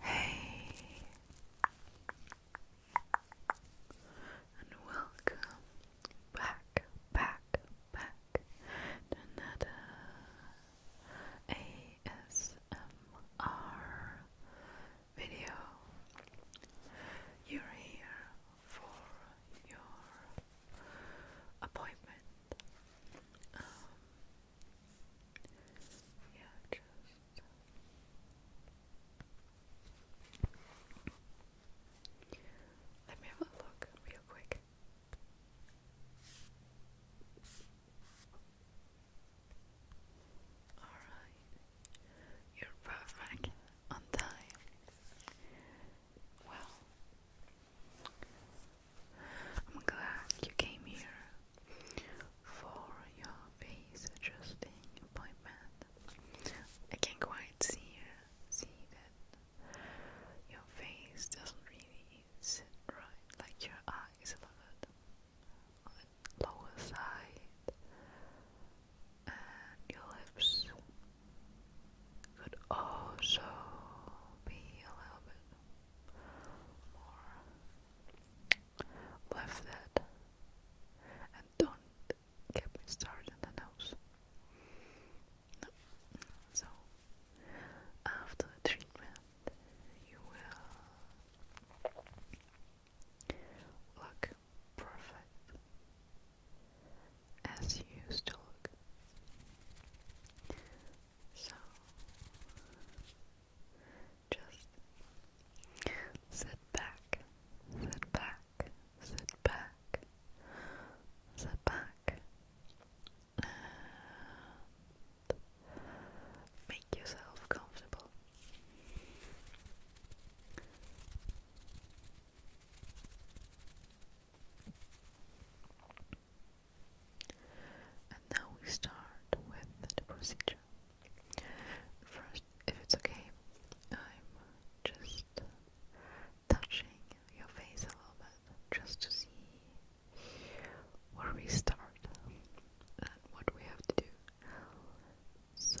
Hey, and welcome back, back, back to another ASMR video. You're here for your appointment. Um, yeah, just. Let me have a look real quick. Alright. You're perfect on time. Well, I'm glad you came here for your face adjusting appointment. I can quite see see that your face doesn't really sit right, like your eyes a little bit on the lower side and uh, your lips could also be a little bit more lifted, and don't get me started on the nose. So after the treatment, you will. Look perfect as you used to look. So just sit back, sit back, sit back, sit back, make yourself comfortable. And now we start with the procedure. First, if it's okay, I'm just touching your face a little bit just to see where we start and what we have to do. So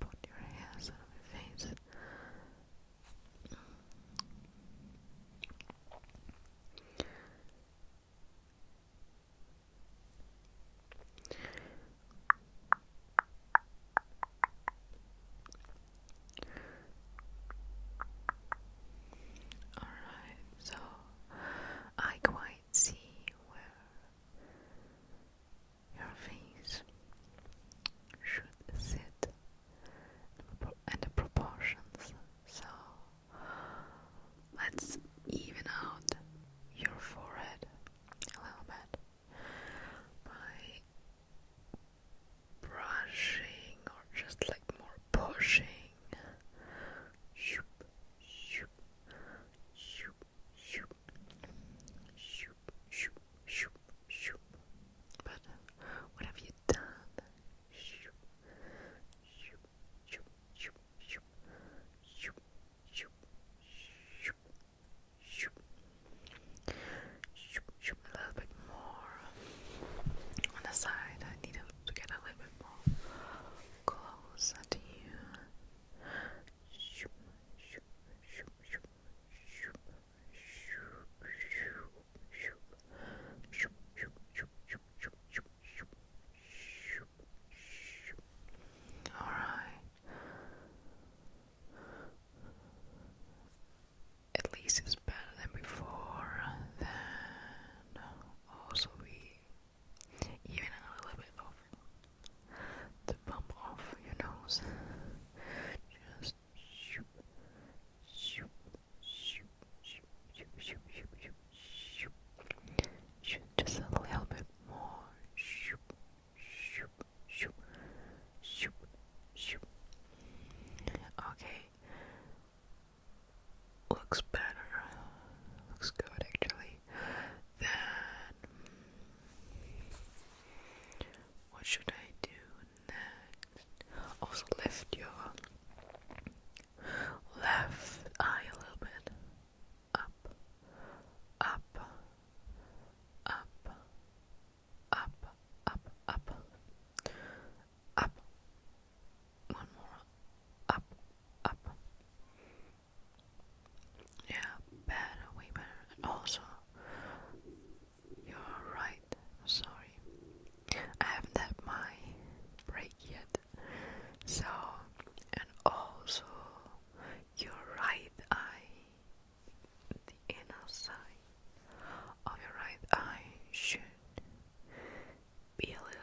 put your hands on my face. All right, so I quite see where your face should sit and the proportions. So let's even out your forehead a little bit by brushing or just like more pushing Shoop, shoop, shoop, shoop, shoop, shoop, shoop, shoop. But what have you done? Shoop, shoop, shoop, shoop, shoop, shoop, shoop, shoop, shoop, shoop, shoop. A little bit more on the side. I need to get a little bit more closer to you. All right. At least it's better than before. Then also we even a little bit of the bump off your nose. Just shoop, shoop, shoop, shoop, shoop, shoop, shoop, shoop. shoop. Just a little bit more. Shoop, shoop, shoop, shoop, shoop. Okay looks better, looks good actually. Then, what should I do next? Also, lift your left eye a little bit up, up, up, up, up, up, up, one more up, up. Yeah, better, way better. And also, you right. Sorry, I haven't had my break yet. So, and also, you right. eye, the inner side of your right eye should be a little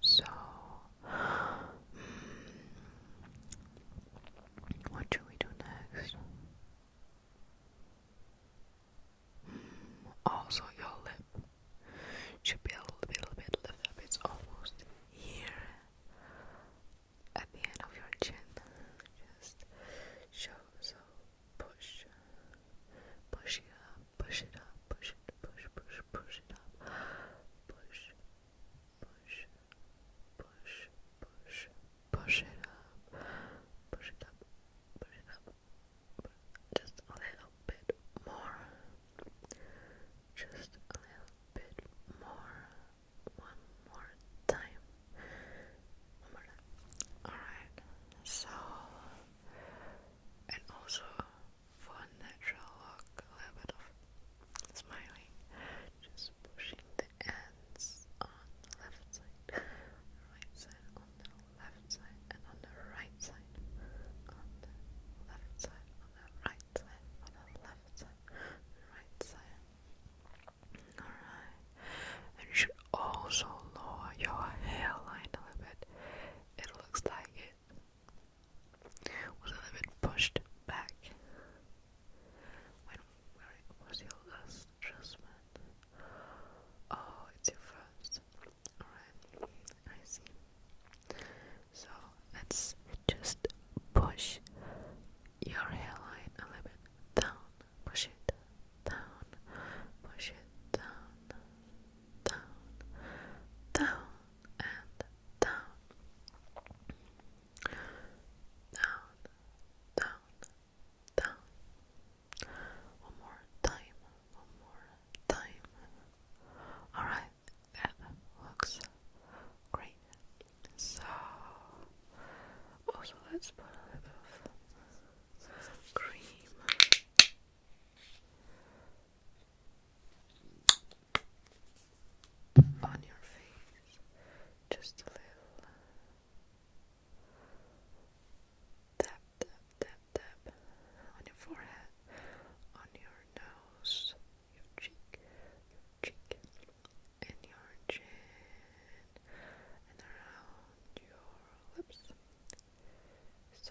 So, mm, what should we do next? Mm, also, your lip should be a little bit, lifted It's almost here at the end of your chin. Just show, so push, push it up, push it up, push it, push, push, push it up, push, push, push, push, push it up, push it up, push it up, just a little bit more, just a little bit more, one more time, one more time. Alright, so, and also for natural look, a little bit of smiling, just pushing the ends on the left side, right side, on the left side, and on the right side, on the left side, on the right side, on the left side, right side. Alright, and you should also lower your hairline a little bit. It looks like it was a little bit pushed back when was your last adjustment? Oh, it's your first. Alright, I see. So let's just push your hairline a little bit down. Push it down. Push it down. Down. Down and down, down, down, down. One more time, one more time. Alright, that looks great. So, also let's put a little bit of cream on your face, just a little tap, tap, tap, tap on your forehead, on your nose, your cheek, your cheek, and your chin, and around your lips. So.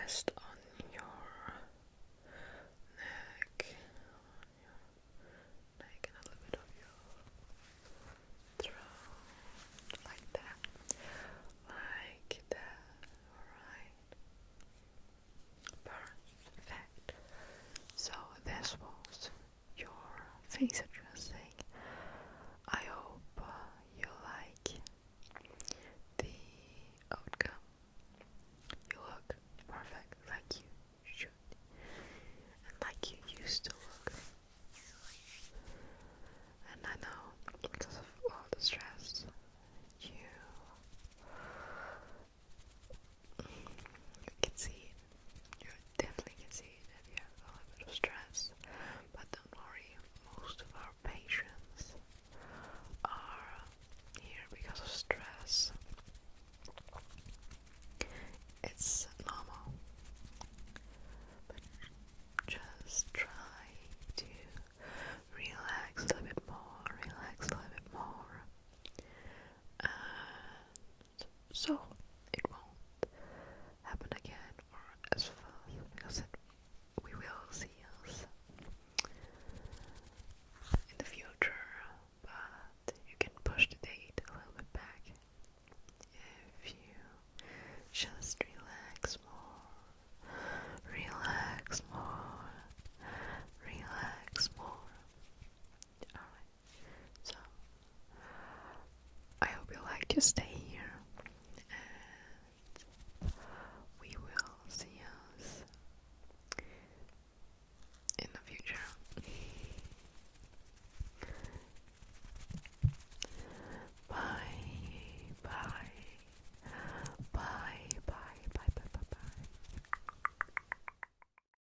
Rest on your neck, neck, and a little bit of your throat, like that, like that. Alright, perfect. So this was your face addressing. I hope uh, you like the outcome. You look perfect like you should and like you used to look. And I know because of all the stress you you can see You definitely can see that you have a little bit of stress. But don't worry, most of our patients are here because of stress. It's normal. just try to relax a little bit more, relax a little bit more and so it won't happen again or as fast because we will see us in the future, but you can push the date a little bit back if you just relax more, relax more, relax more. Alright. So I hope you like to stay here and we will see us in the future. Bye, bye, bye, bye, bye, bye, bye, bye.